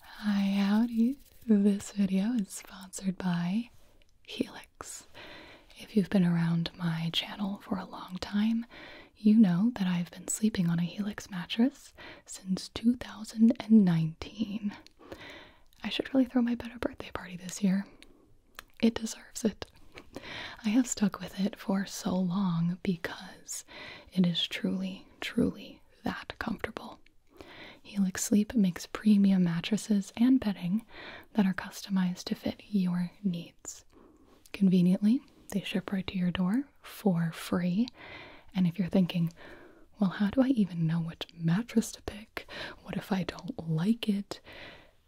Hi, howdy. This video is sponsored by Helix. If you've been around my channel for a long time, you know that I've been sleeping on a Helix mattress since 2019. I should really throw my better birthday party this year. It deserves it. I have stuck with it for so long because it is truly, truly that comfortable. Helix Sleep makes premium mattresses and bedding that are customized to fit your needs. Conveniently, they ship right to your door for free. And if you're thinking, well, how do I even know which mattress to pick? What if I don't like it?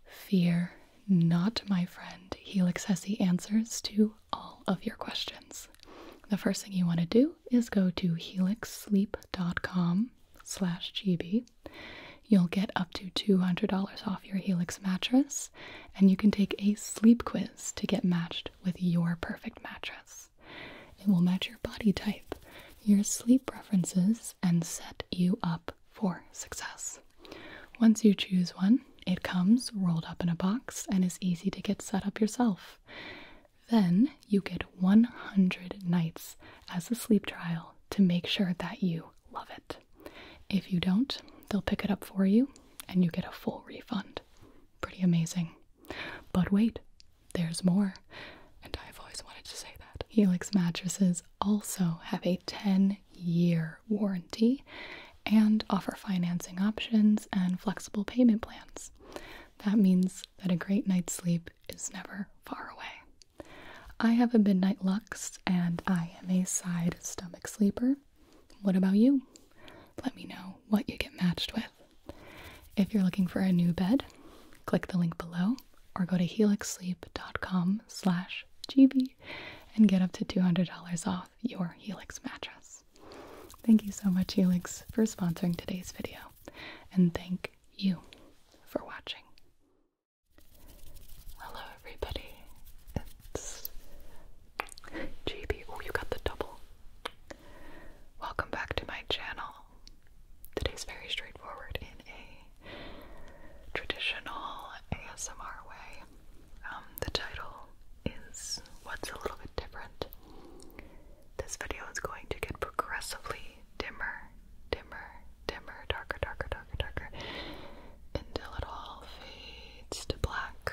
Fear not, my friend. Helix has the answers to all of your questions. The first thing you want to do is go to helixsleep.com slash gb. You'll get up to $200 off your Helix mattress, and you can take a sleep quiz to get matched with your perfect mattress. It will match your body type, your sleep preferences, and set you up for success. Once you choose one, it comes rolled up in a box and is easy to get set up yourself. Then you get 100 nights as a sleep trial to make sure that you love it. If you don't, they'll pick it up for you and you get a full refund. Pretty amazing. But wait, there's more. And I've always wanted to say that. Helix mattresses also have a 10 year warranty and offer financing options and flexible payment plans. That means that a great night's sleep is never far away. I have a midnight lux and I am a side stomach sleeper. What about you? Let me know what you get matched with. If you're looking for a new bed, click the link below or go to helixsleep.com slash gb and get up to $200 off your Helix mattress. Thank you so much, Helix, for sponsoring today's video, and thank you for watching. Hello, everybody. It's GB. Oh, you got the double. Welcome back to my channel. Today's very straightforward in a traditional ASMR way. Um, the title is what's a little bit different. This video is going to get progressively dimmer, dimmer, dimmer, darker, darker, darker, darker, until it all fades to black.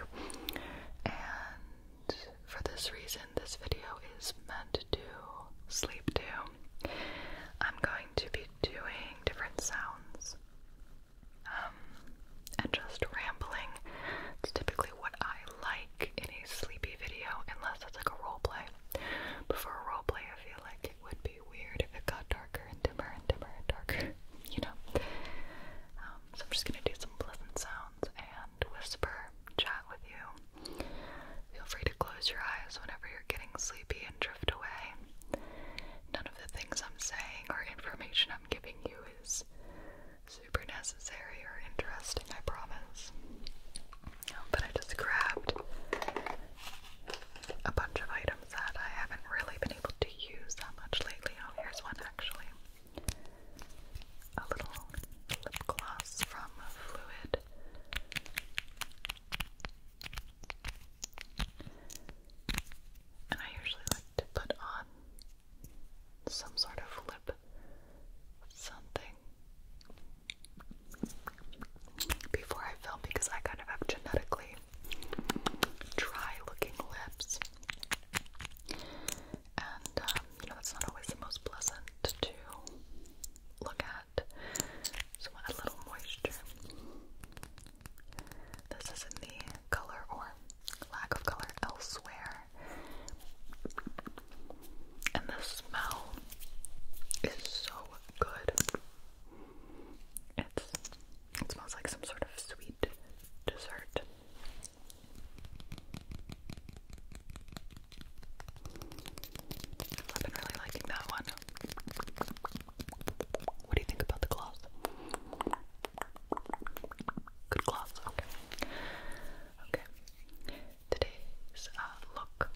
And for this reason, this video is meant to sleep to. I'm going to be doing different sounds. Um, and just rambling. It's typically what I like in a sleepy video, unless it's like a roleplay. But for a roleplay, I feel like it would be weird if it got darker and dimmer and dimmer and darker, you know? Um, so I'm just gonna do some pleasant sounds and whisper, chat with you. Feel free to close your eyes whenever you're getting sleepy and drift away. None of the things I'm saying or information I'm giving you is super necessary or interesting, I promise. But I just grabbed a bunch of items that I haven't really been able to use that much lately. Oh, here's one actually. A little lip gloss from Fluid. And I usually like to put on some sort of lip something before I film because I kind of have genetically dry looking lips. And, um, you know, that's not always the most pleasant to look at. So, add a little moisture. This is in the color or lack of color elsewhere. And the smell is so good. It's it smells like some sort of sweet dessert. I've been really liking that one. What do you think about the gloss? Good gloves, okay. Okay. Today's uh, look.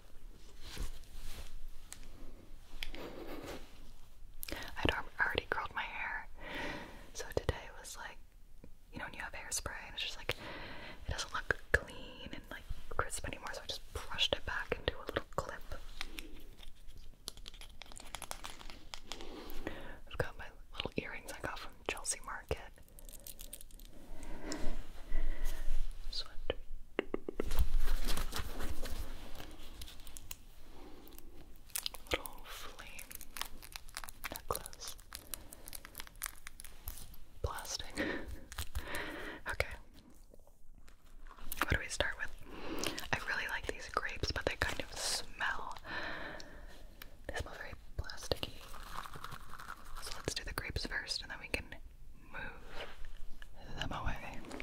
I'd already curled my hair, so today was like, you know, when you have hairspray and it's just like, it doesn't look clean and like crisp anymore, so I just brushed it back into a little clip. I've got my little earrings I got from Chelsea Market. This Little flame necklace. Plastic. okay. What do we start with? I really like these grapes, but they kind of smell. They smell very plasticky. So let's do the grapes first and then we can move them away. They look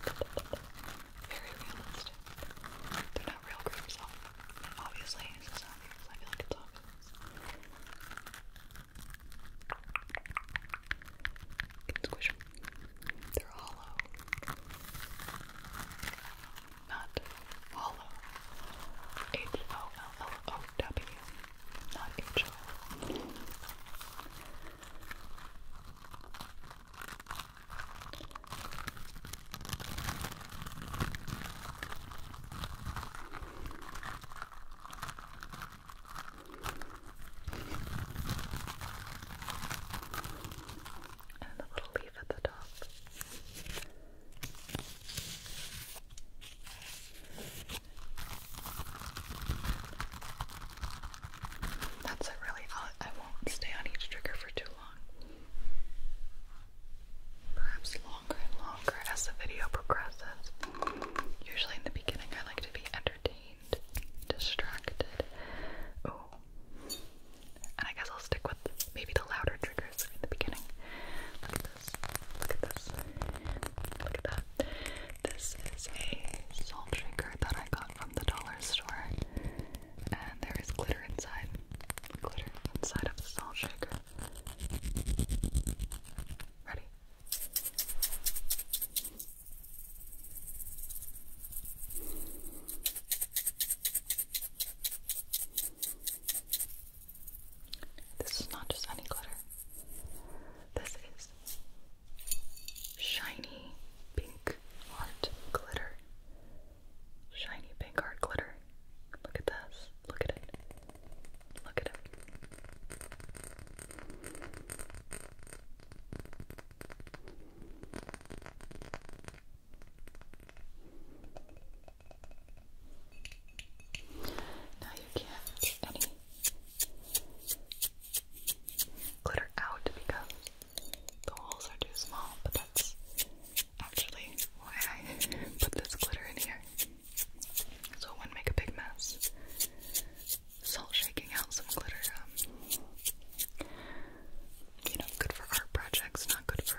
plush very realistic. They're not real groomers, obviously. It's just I feel like it's obvious. can squish them. They're hollow. Not hollow. H O L L O W. Not H O L. And the little leaf at the top. That's a really odd. I won't stay on each trigger for too long. Perhaps longer and longer as the video progresses. Usually in the beginning, I like to be entertained, distracted. Oh, and I guess I'll stick with maybe the louder triggers in the beginning. Look at this. Look at this. Look at that. This is a salt trigger that I got from the dollar store. And there is glitter inside. Glitter inside of the salt shaker. Ready? This is not just any glitter. This is shiny pink heart glitter. Shiny pink art glitter. Look at this. Look at it. Look at it. Now you can't any glitter out because the holes are too small, but that's actually why I put this glitter in here. So it wouldn't make a big mess. Salt shaking out some glitter, um, you know, good for art projects, not good for me.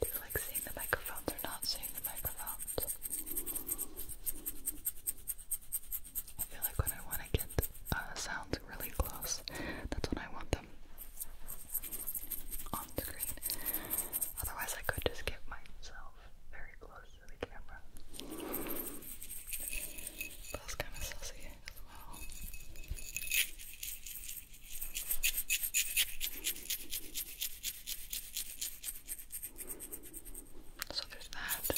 Do you like seeing the microphones or not seeing the microphones? I feel like when I want to get uh, sounds really close, that's when I want them on screen. Otherwise, I could just get myself very close to the camera. That's kind of sussy as well. So there's that.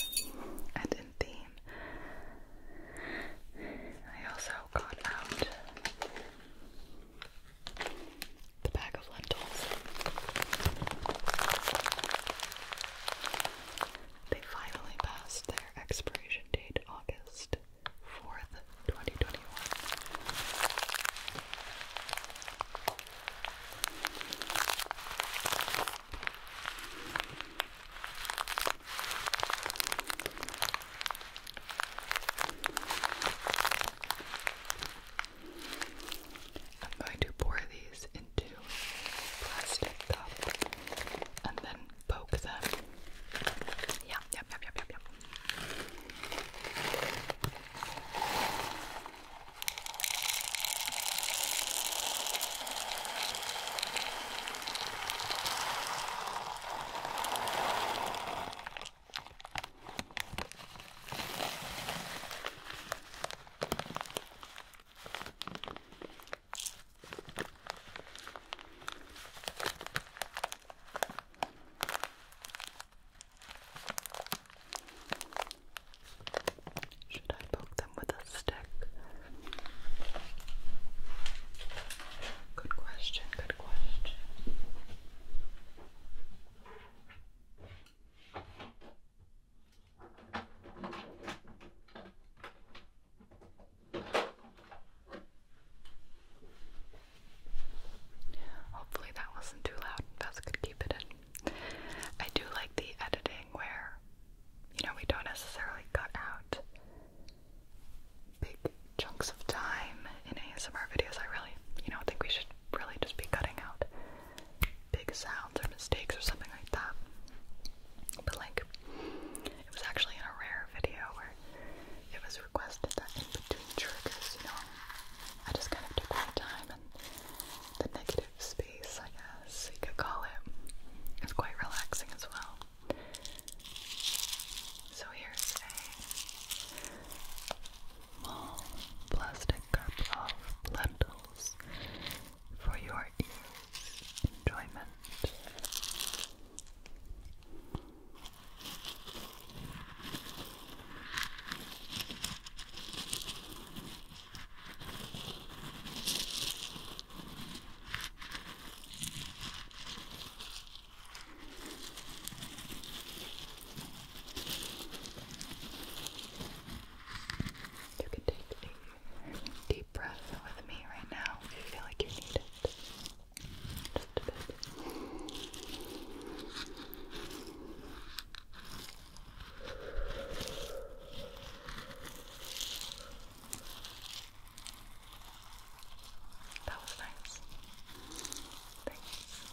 And in theme, I also got out the bag of lentils. They finally passed their expiration date August 4th, 2021. I'm going to pour these into plastic cup and then poke them. Yeah, should I poke them with a stick? Good question, good question. Hopefully that wasn't too loud. That's good. Keep it in. I do like the editing where, you know, we don't necessarily cut out big chunks of time in ASMR videos. I really, you know, think we should really just be cutting out big sounds or mistakes or something like that. But like, it was actually in a rare video where it was requested that in between triggers, you know, I just kind of took my time and the negative space, I guess you could call it, is quite relaxing as well. So here's a plastic cup of lentils for your ears' enjoyment. You can take deep breath with me right now if you feel like you need it. That was nice. Thanks.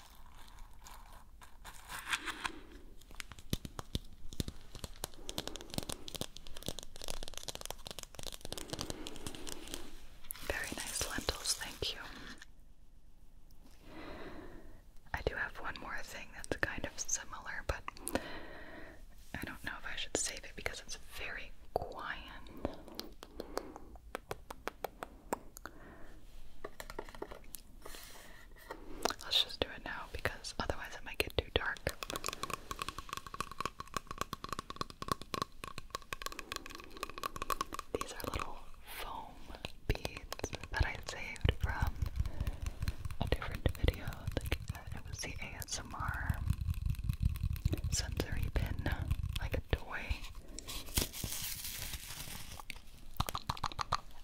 Very nice lentils, thank you. I do have one more thing that's kind of similar, but I don't know if I should save it because it's very quiet. Let's just do it now because otherwise it might get too dark. These are little foam beads that I saved from a different video. Uh, it was the ASMR sensory pin, like a toy.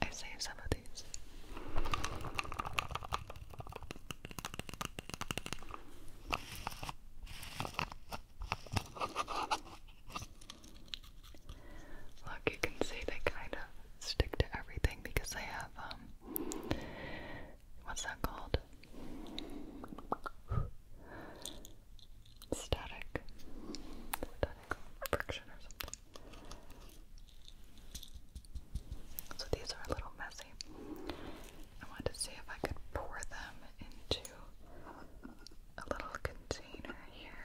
I saved some of these. Look, you can see they kind of stick to everything because they have, um, what's that called? static, static friction or something. So these are a little messy. I wanted to see if I could pour them into a little container here.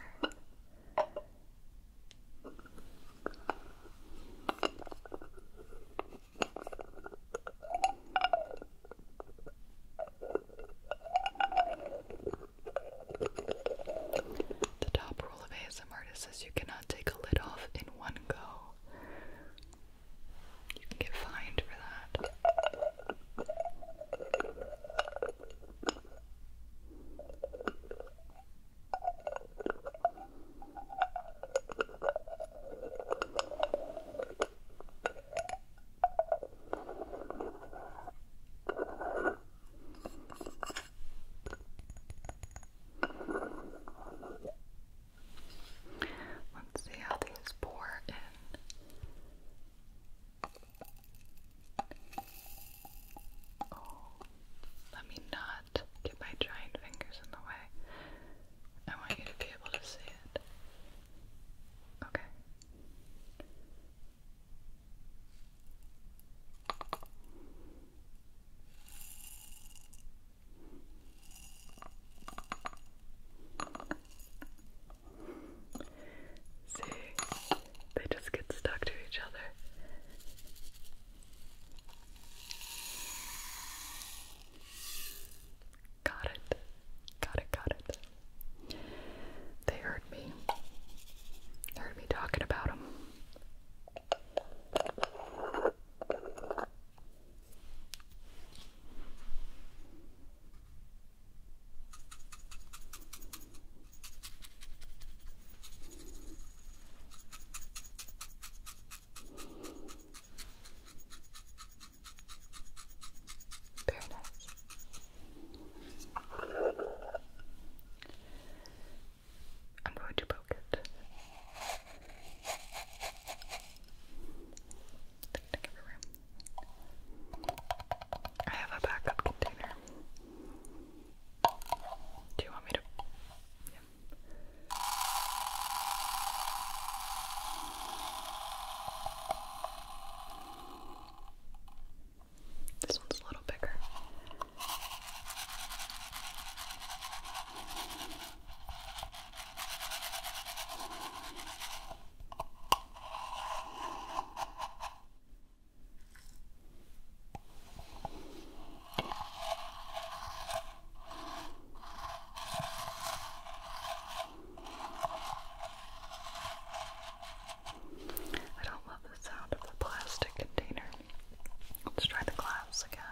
The top rule of ASMR is you cannot take a lid off in one go. You can get fined for that. Let's see how these pour in. Oh, let me not get my giant fingers in the way. I want you to be able to see it. Okay. See, they just get stuck to each other. Got it. Got it, got it. They heard me. They heard me talking about them. Very nice. I'm going to poke it. I have a backup container. Do you want me to? This one's a little bigger. I don't love the sound of the plastic container. Let's try the glass again.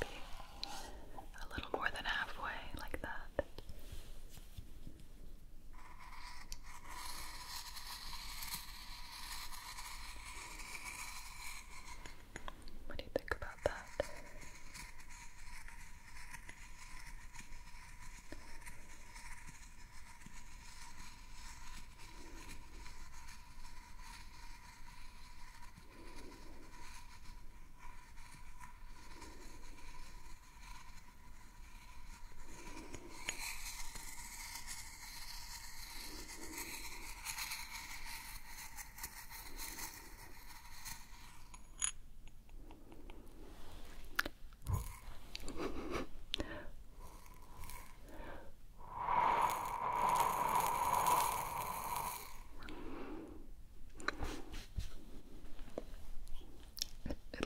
Maybe a little more than halfway, like that. What do you think about that? It,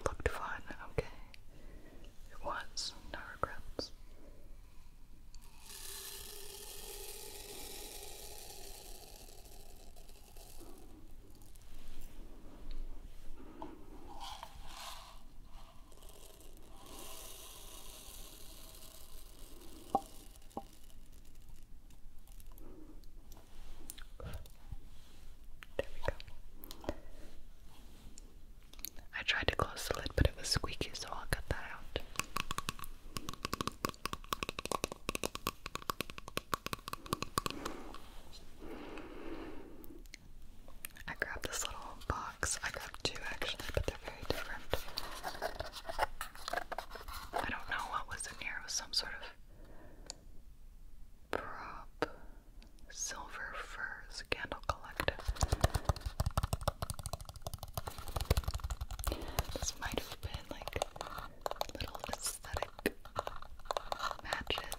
looked fun, okay? It was, no regrets. There we go. I tried to close the lid, but it was squeaky, so I'll cut that out. I grabbed this little box. I grabbed two actually, but they're very different. I don't know what was in here. It was some sort of prop. Silver Furs Candle Collective. This might have been like little aesthetic matches.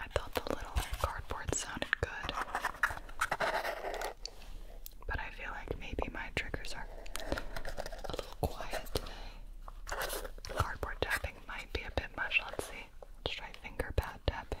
I thought the little cardboard sounded good, but I feel like maybe my triggers are a little quiet Cardboard tapping might be a bit much. Let's see. Let's try finger pad tapping.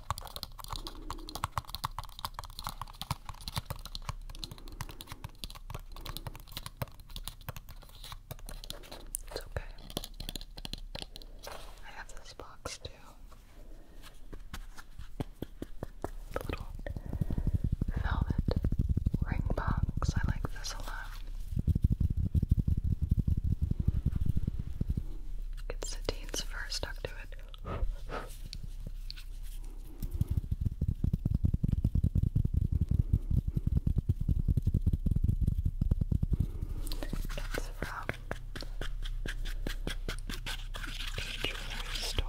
It's okay. I have this box too. The little velvet ring box. I like this a lot. It's Satine's first October it. It's from a jewelry store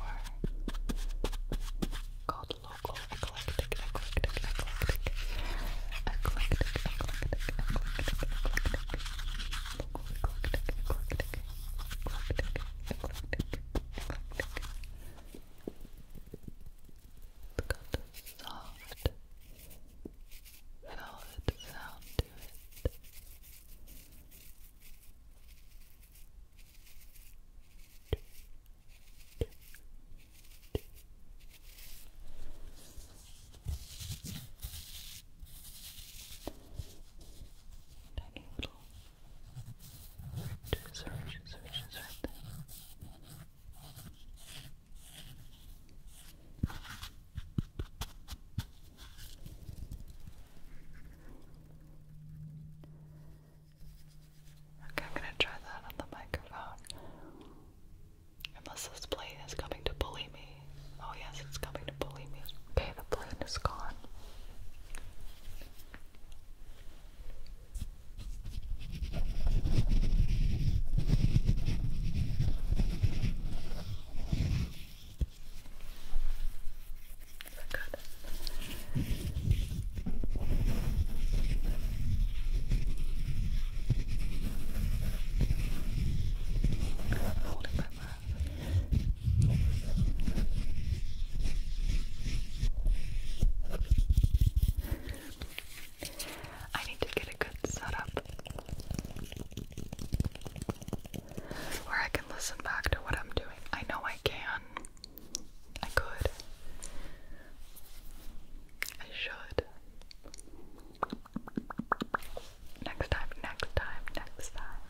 called Local Eclectic Eclectic Eclectic Eclectic Eclectic Eclectic Eclectic Eclectic it's got a soft velvet sound to it. Tiny little ridges or ridges or right there. Okay, I'm gonna try that on the microphone. Unless this plane is coming to bully me. Oh, yes, it's coming to bully me. Okay, the plane is gone. Good. Hold it I need to get a good setup where I can listen back to what I'm doing. I know I can. I could. I should. Next time, next time, next time.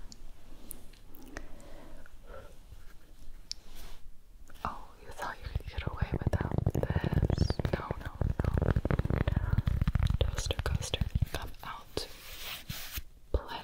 Oh, you thought you could get away without this? No, no, no. Toaster coaster, come out. Play.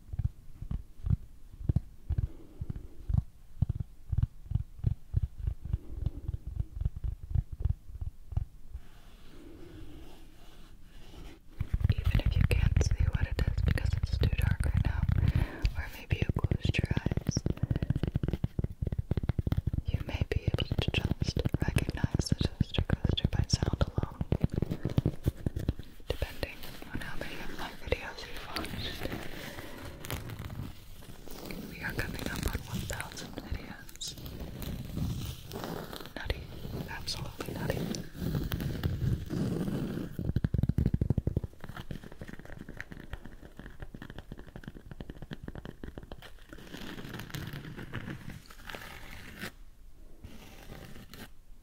Even if you can't see what it is because it's too dark right now, or maybe you closed your eyes, you may be able to just recognize the toaster coaster by sound alone depending on how many of my videos you watch, We are coming up on 1,000 videos. Nutty, absolutely nutty.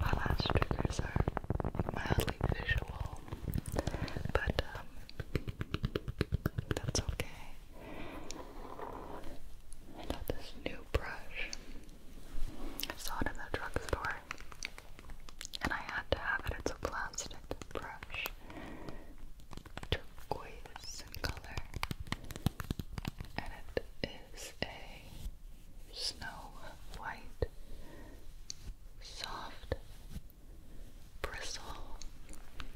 My last triggers are mildly visual, but um, that's okay. I got this new brush. I saw it in the drugstore and I had to have it. It's a plastic brush, turquoise color, and it is a snow white, soft bristle.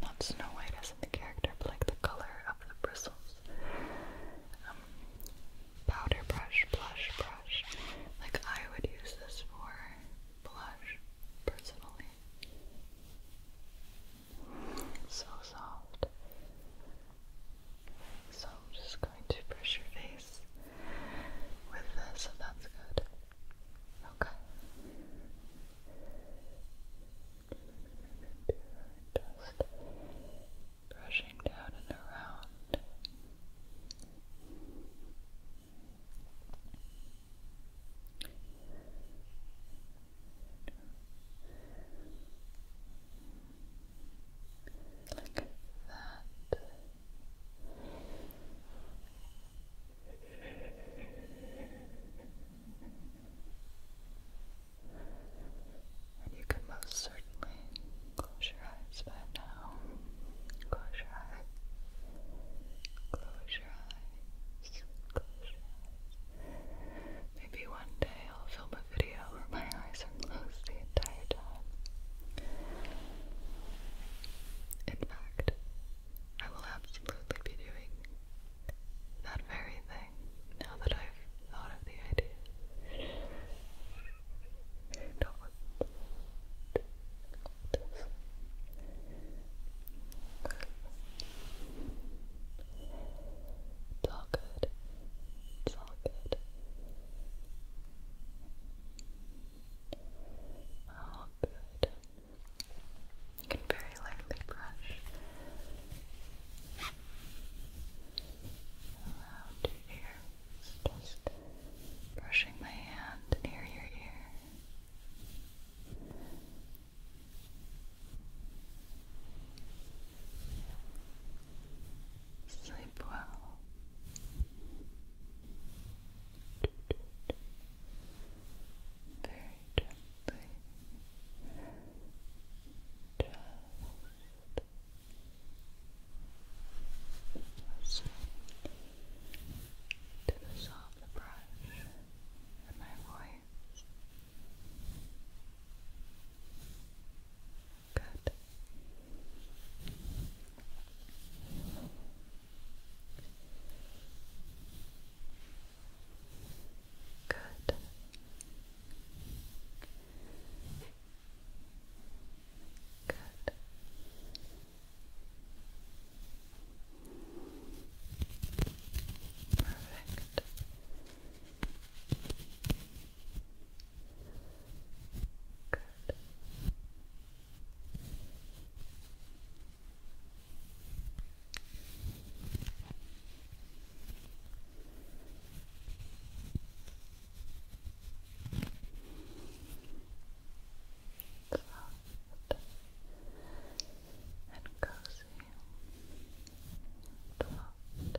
Not Snow White as in the character, but like the color of the bristles. Um, powder brush, blush brush. Like I would use this for blush personally. so soft. So just going to brush your face with this if that's good. Okay. Just brushing down and around. Look at that. And you can most certainly close your eyes by now. Close your eyes. Close your eyes. Close your eyes. Maybe one day I'll film a video where my eyes are closed the entire time. In fact, I will absolutely be doing that very thing now that I've thought of the idea. Don't, it's all good. It's all good. All good. You can very lightly brush around your ear. Just brushing my hand near your ear. Sleep well. Very gently. Just so, to the sound of the brush and my voice. Good. Good. Good. Perfect. Good soft and cozy, soft, cozy, cozy. Good